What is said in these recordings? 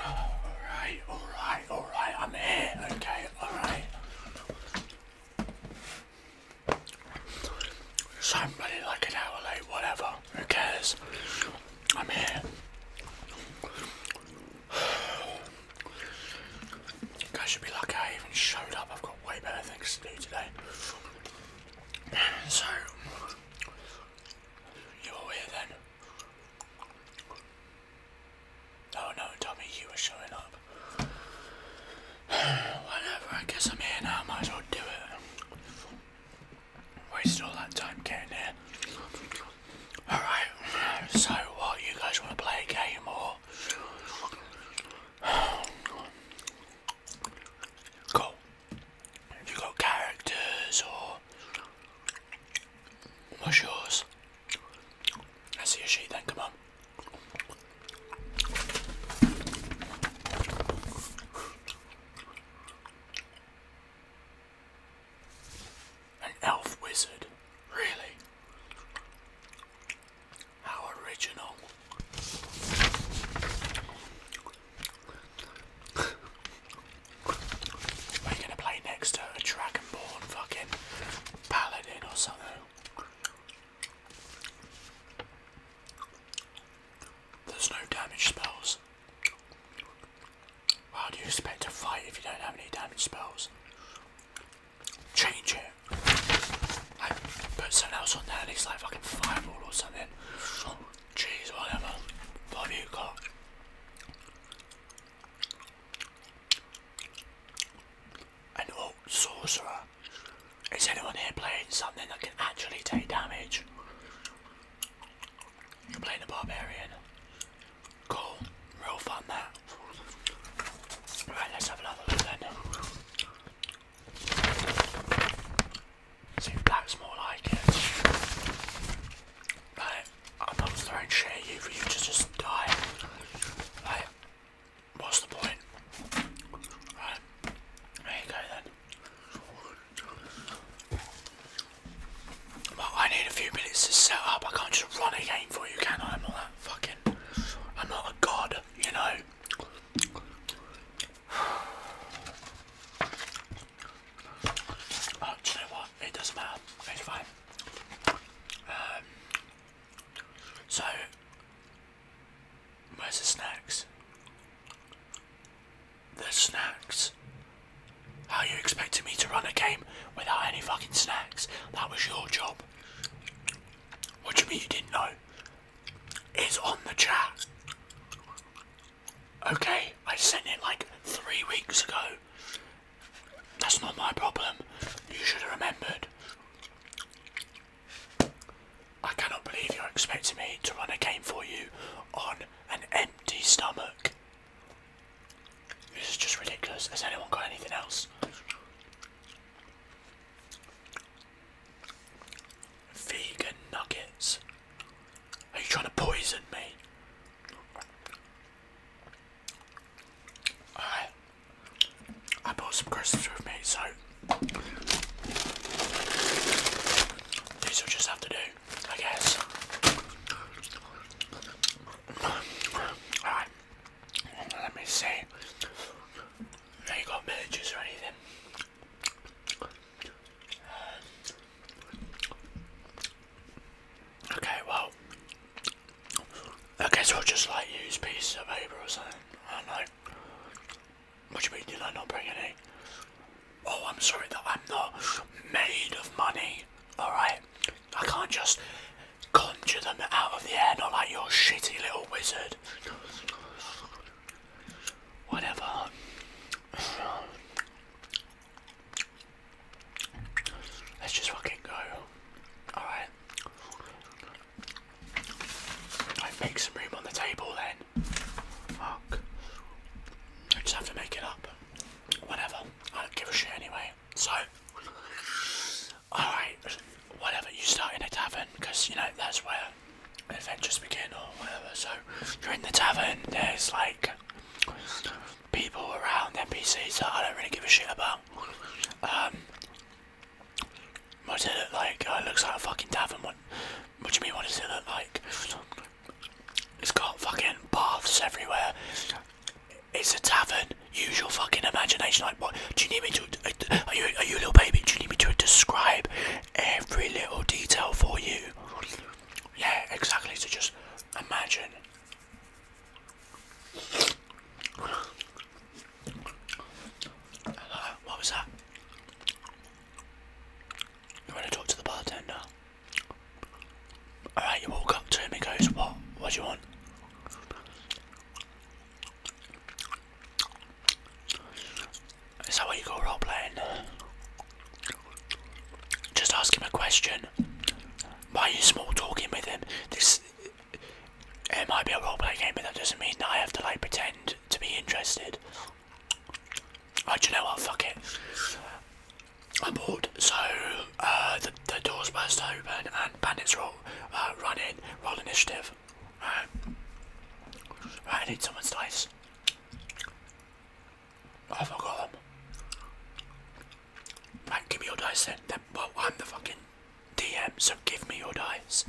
Alright, alright, alright, I'm here, okay, alright. So I'm running like an hour late, whatever, who cares? I'm here. You guys should be lucky I even showed up, I've got way better things to do today. So, you're here then? Oh no, Tommy, you were showing up. Whatever, I guess I'm here now, might as well do it. Wasted all that time getting here. Alright, so what, you guys want to play a game or? Cool. Have you got characters or what's yours? I see a sheet then, come on. An elf wizard? Really? How original. We're gonna play next to a Dragonborn fucking paladin or something. There's no damage spells. How do you expect to fight if you don't have any damage spells? Change it. I put something else on there and it's like fucking fireball or something. Jeez, whatever. What have you got? An old sorcerer. Is anyone here playing something that can actually take damage? You're playing a barbarian. Cool. Real fun that. Right, let's have another look then. See, black's more like it. Like, I'm not throwing shit at you for you to just die. Like, what's the point? Right, there you go then. Well, I need a few minutes to set up. I can't just run a game for you, can I? I'm not fucking. I'm not a god, you know. Oh, do you know what? It doesn't matter. It's fine. Um, so, where's the snacks? The snacks. How are you expecting me to run a game without any fucking snacks? That was your job. What do you mean you didn't know? is on the chat. Okay, I sent it like three weeks ago. That's not my problem. You should have remembered. I cannot believe you're expecting me to run a game for you on an empty stomach. This is just ridiculous. Has anyone got anything else? Vegan nuggets. Are you trying to poison me? Alright. I bought some crisps with me, so these will just have to do, I guess. Alright. Let me see. They ain't got messages or anything. Okay, well, I guess I'll just like use pieces of paper or something. I don't know. What do you mean, did I not bring any? Oh, I'm sorry that I'm not made of money, alright? I can't just conjure them out of the air, not like your shitty little wizard. Whatever. Let's just fucking go. Alright. I make some room on the table then. Fuck. I just have to make it up. Whatever. I don't give a shit anyway. So Alright, whatever, you start in a tavern because you know that's where adventures begin or whatever. So you're in the tavern, there's like people around, NPCs that I don't really give a shit about. Um, what does it look like? Oh, it looks like a fucking tavern. What, what do you mean, what does it look like? It's got fucking baths everywhere. It's a tavern. Use your fucking imagination. Like, what? Do you need me to? Are you are you a little baby? Do you need me to describe every little detail for you? Yeah, exactly. So just imagine. what was that? You want to talk to the bartender? Alright, you walk up to him He goes, What? What do you want? Is that what you call role playing? Just ask him a question. Why are you small talking with him? This it might be a role roleplay game, but that doesn't mean that I have to like pretend to be interested. Oh, do you know what? Fuck it. I'm bored. So uh, the the doors burst open and bandits roll uh, run in. Roll initiative. I need someone's slice. I forgot them. Right, give me your dice then. Well, I'm the fucking DM, so give me your dice.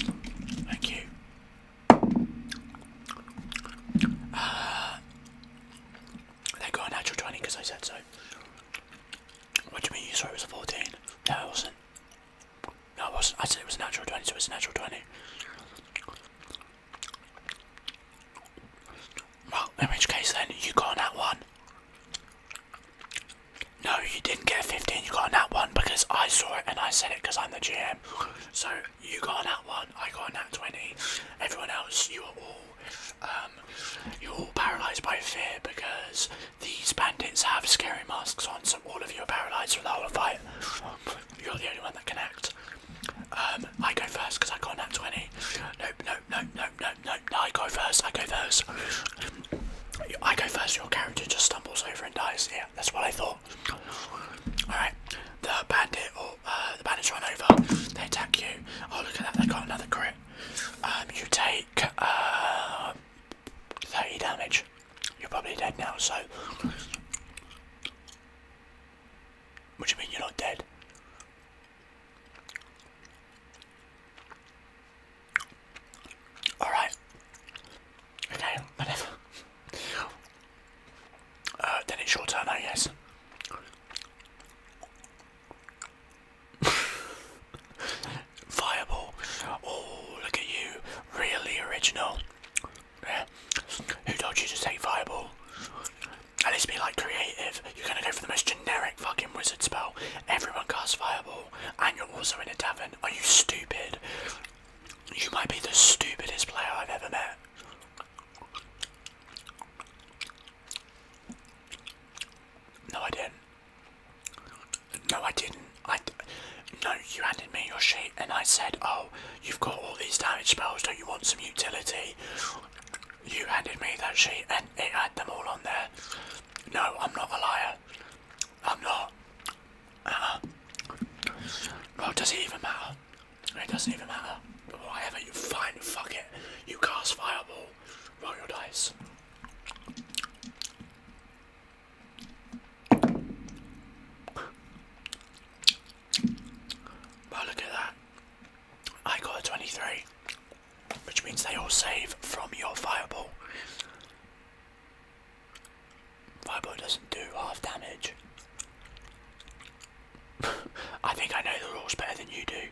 Thank you. Uh, they got a natural 20 because I said so. What do you mean you saw it was a 14? No, it wasn't. No, I wasn't. I said it was a natural 20, so it's a natural 20. Well, in which case then, you got on that one. No, you didn't get a 15, you got on that one because I saw it and I said it because I'm the GM. So, you got on that one, I got on that 20. Everyone else, you are all, um, you are all paralysed by fear because these bandits have scary masks on, so all of you are paralysed for the whole fight. You're the only one that can act. Um, I go first because I can't act 20. Nope, nope, nope, nope, nope, nope. No, I go first, I go first. I go first, your character just stumbles over and dies. Yeah, that's what I thought. Alright, the bandit or uh, the bandits run over, they attack you. Oh, look at that, they got another crit. Um, you take um, 30 damage. You're probably dead now, so. What do you mean you're not dead? Alright. Okay, whatever. Uh, then it's your turn, I guess. Fireball. Oh, look at you. Really original. Who told you to say Fireball? At least be like creative. You're gonna go for the most generic fucking wizard spell. Everyone casts Fireball, and you're also in a tavern. Are you stupid? You might be the stupidest player I've ever met. No, I didn't. No, I didn't. I no, you handed me your sheet, and I said, "Oh, you've got all these damage spells. Don't you want some utility?" You handed me that sheet, and it had them all on there. No, I'm not a liar. I'm not. Uh, well, does it even matter? It doesn't even matter. Whatever you find, fuck it. You cast fireball. Roll your dice. But look at that. I got a 23, which means they all save from your fireball. Fireball doesn't do half damage. I think I know the rules better than you do.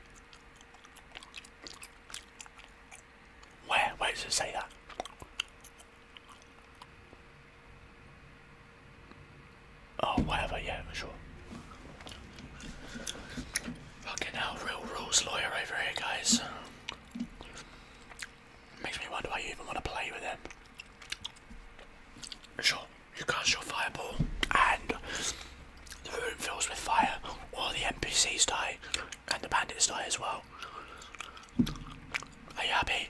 Where? Where does it say that? Oh, whatever, yeah, sure. Fucking hell, real rules lawyer over here, guys. Makes me wonder why you even want to play with him. Sure, you cast your fireball and the room fills with fire. All the NPCs die, and the bandits die as well. Are you happy?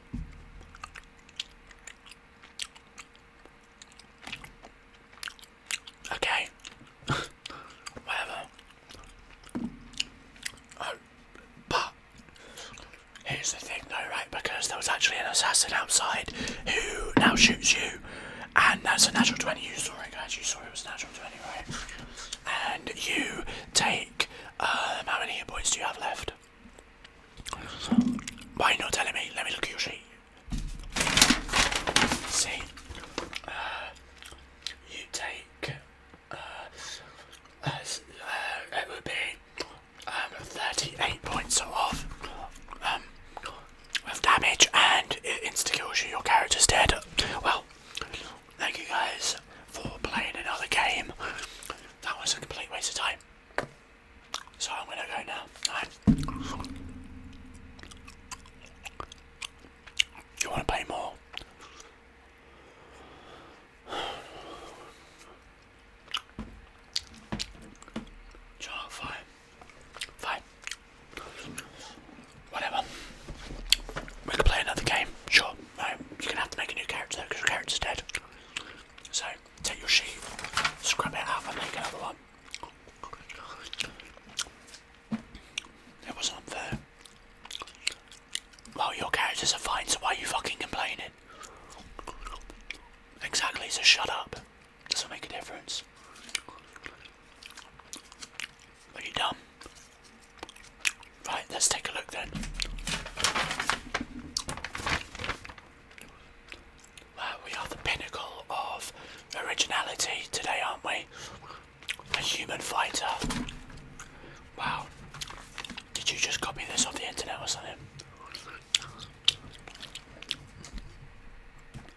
Okay. Whatever. Oh, but here's the thing, though, right? Because there was actually an assassin outside who now shoots you, and that's a natural 20. You saw it, guys. You saw it was natural. And you take, um, how many points do you have left? Why not telling me? Let me look at your sheet. See, uh, you take, uh, uh, uh, it would be um, 38 points off. Um, with damage and it insta kills you, your character's dead. Well, thank you guys for playing another game. That was a complete waste of time. So I'm gonna go now. You wanna play more? Child fine. Fine. Whatever. We can play another game. Sure. you're gonna have to make a new character because your character's dead. So take your sheet, scrub it off, and make another one. That wasn't unfair. Well, your characters are fine, so why are you fucking complaining? Exactly. So shut up. This will make a difference. Are you done? Right, let's take a look then. Well, we are the pinnacle of originality today, aren't we? A human fighter. Wow. Did you just copy this off the internet or something?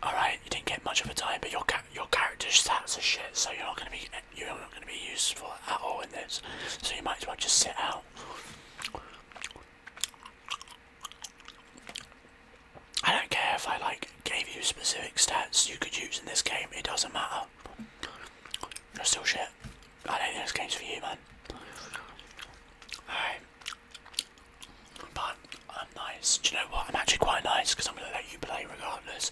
Alright, you didn't get much of a time, but your your character stats are shit, so you're not gonna be you're not gonna be useful at all in this. So you might as well just sit out. I don't care if I like gave you specific stats you could use in this game, it doesn't matter. You're still shit. I don't think this game's for you man. Alright. But I'm nice. Do you know what? I'm actually quite nice because I'm going to let you play regardless.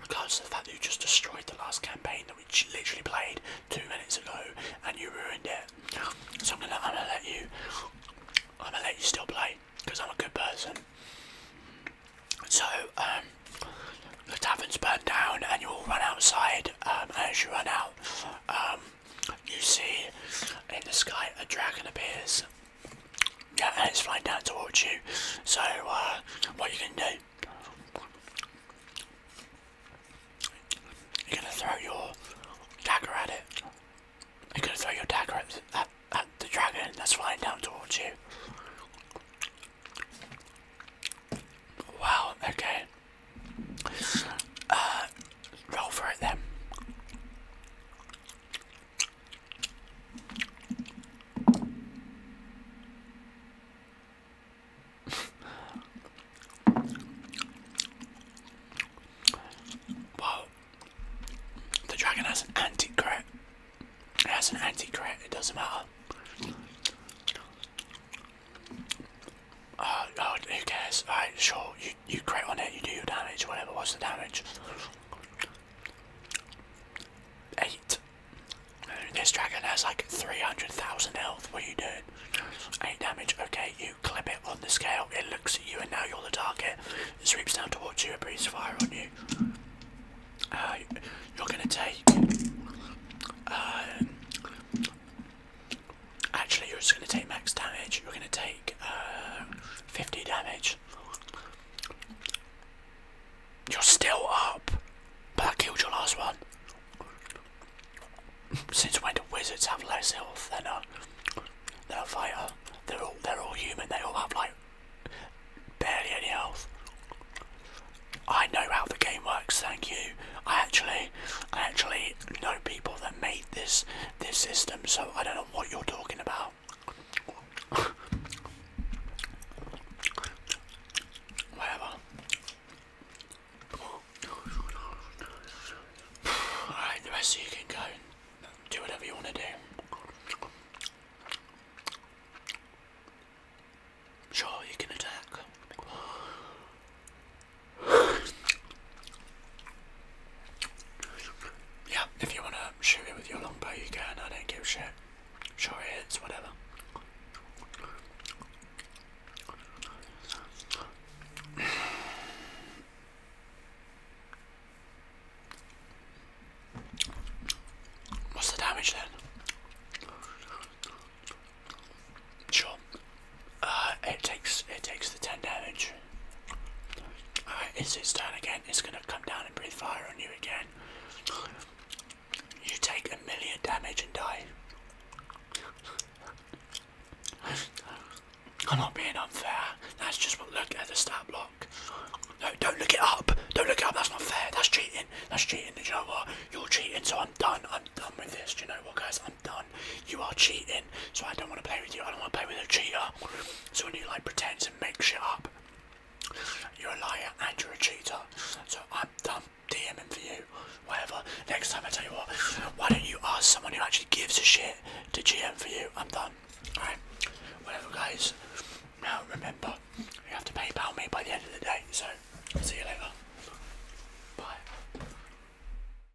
Regardless of the fact that you just destroyed the last campaign that we literally played two minutes ago and you ruined it. So I'm going to let you. I'm going to let you still play because I'm a good person. So, um, the tavern's burned down and you all run outside. Um, as you run out, um, you see in the sky a dragon appears yeah, it's flying down towards you. So, uh, what you can do? You're gonna throw your dagger at it. You're gonna throw your dagger at, at, the dragon that's flying down towards you. Wow, okay. Uh, Roll for it then. well, the dragon has an anti crit. It has an anti crit, it doesn't matter. Oh, uh, Lord, who cares? Alright, sure, you crit on it, you do your damage, whatever was the damage. Eight. This dragon has like 300,000 health, what are you doing? 8 damage, okay, you clip it on the scale, it looks at you and now you're the target. It sweeps down towards you and breathes fire on you. Uh, you're gonna take... Uh, Actually, you're just going to take max damage. You're going to take uh, 50 damage. You're still up, but I killed your last one. Since when do wizards have less health than a than a fighter? They're all they're all human. They all have like barely any health. I know how the game works. Thank you. I actually I actually know people that made this this system, so I don't know what you're talking about. Whatever. Alright, the rest you can go do whatever you want to do. Sure, you can attack yeah, if you want to shoot it with your longbow, you can. I don't give a shit. Sure, it hits, whatever. What's the damage then? Sure, uh, it takes it takes the ten damage. it's its turn again. It's gonna come down and breathe fire on you again. You take a million damage and die. I'm not being unfair. That's just what look at the stat block. No, don't look it up. Don't look it up. That's not fair. That's cheating. That's cheating. Do you know what? You're cheating, so I'm done. I'm done with this. Do you know what, guys? I'm done. You are cheating, so I don't want to play with you. I don't want to play with a cheater. So when you like pretend to make shit up, you're a liar and you're a cheater. So I'm done DMing for you. Whatever. Next time I tell you what, why don't you ask someone who actually gives a shit to GM for you? I'm done. Alright. Whatever guys. Now remember, you have to PayPal me by the end of the day, so see you later. Bye.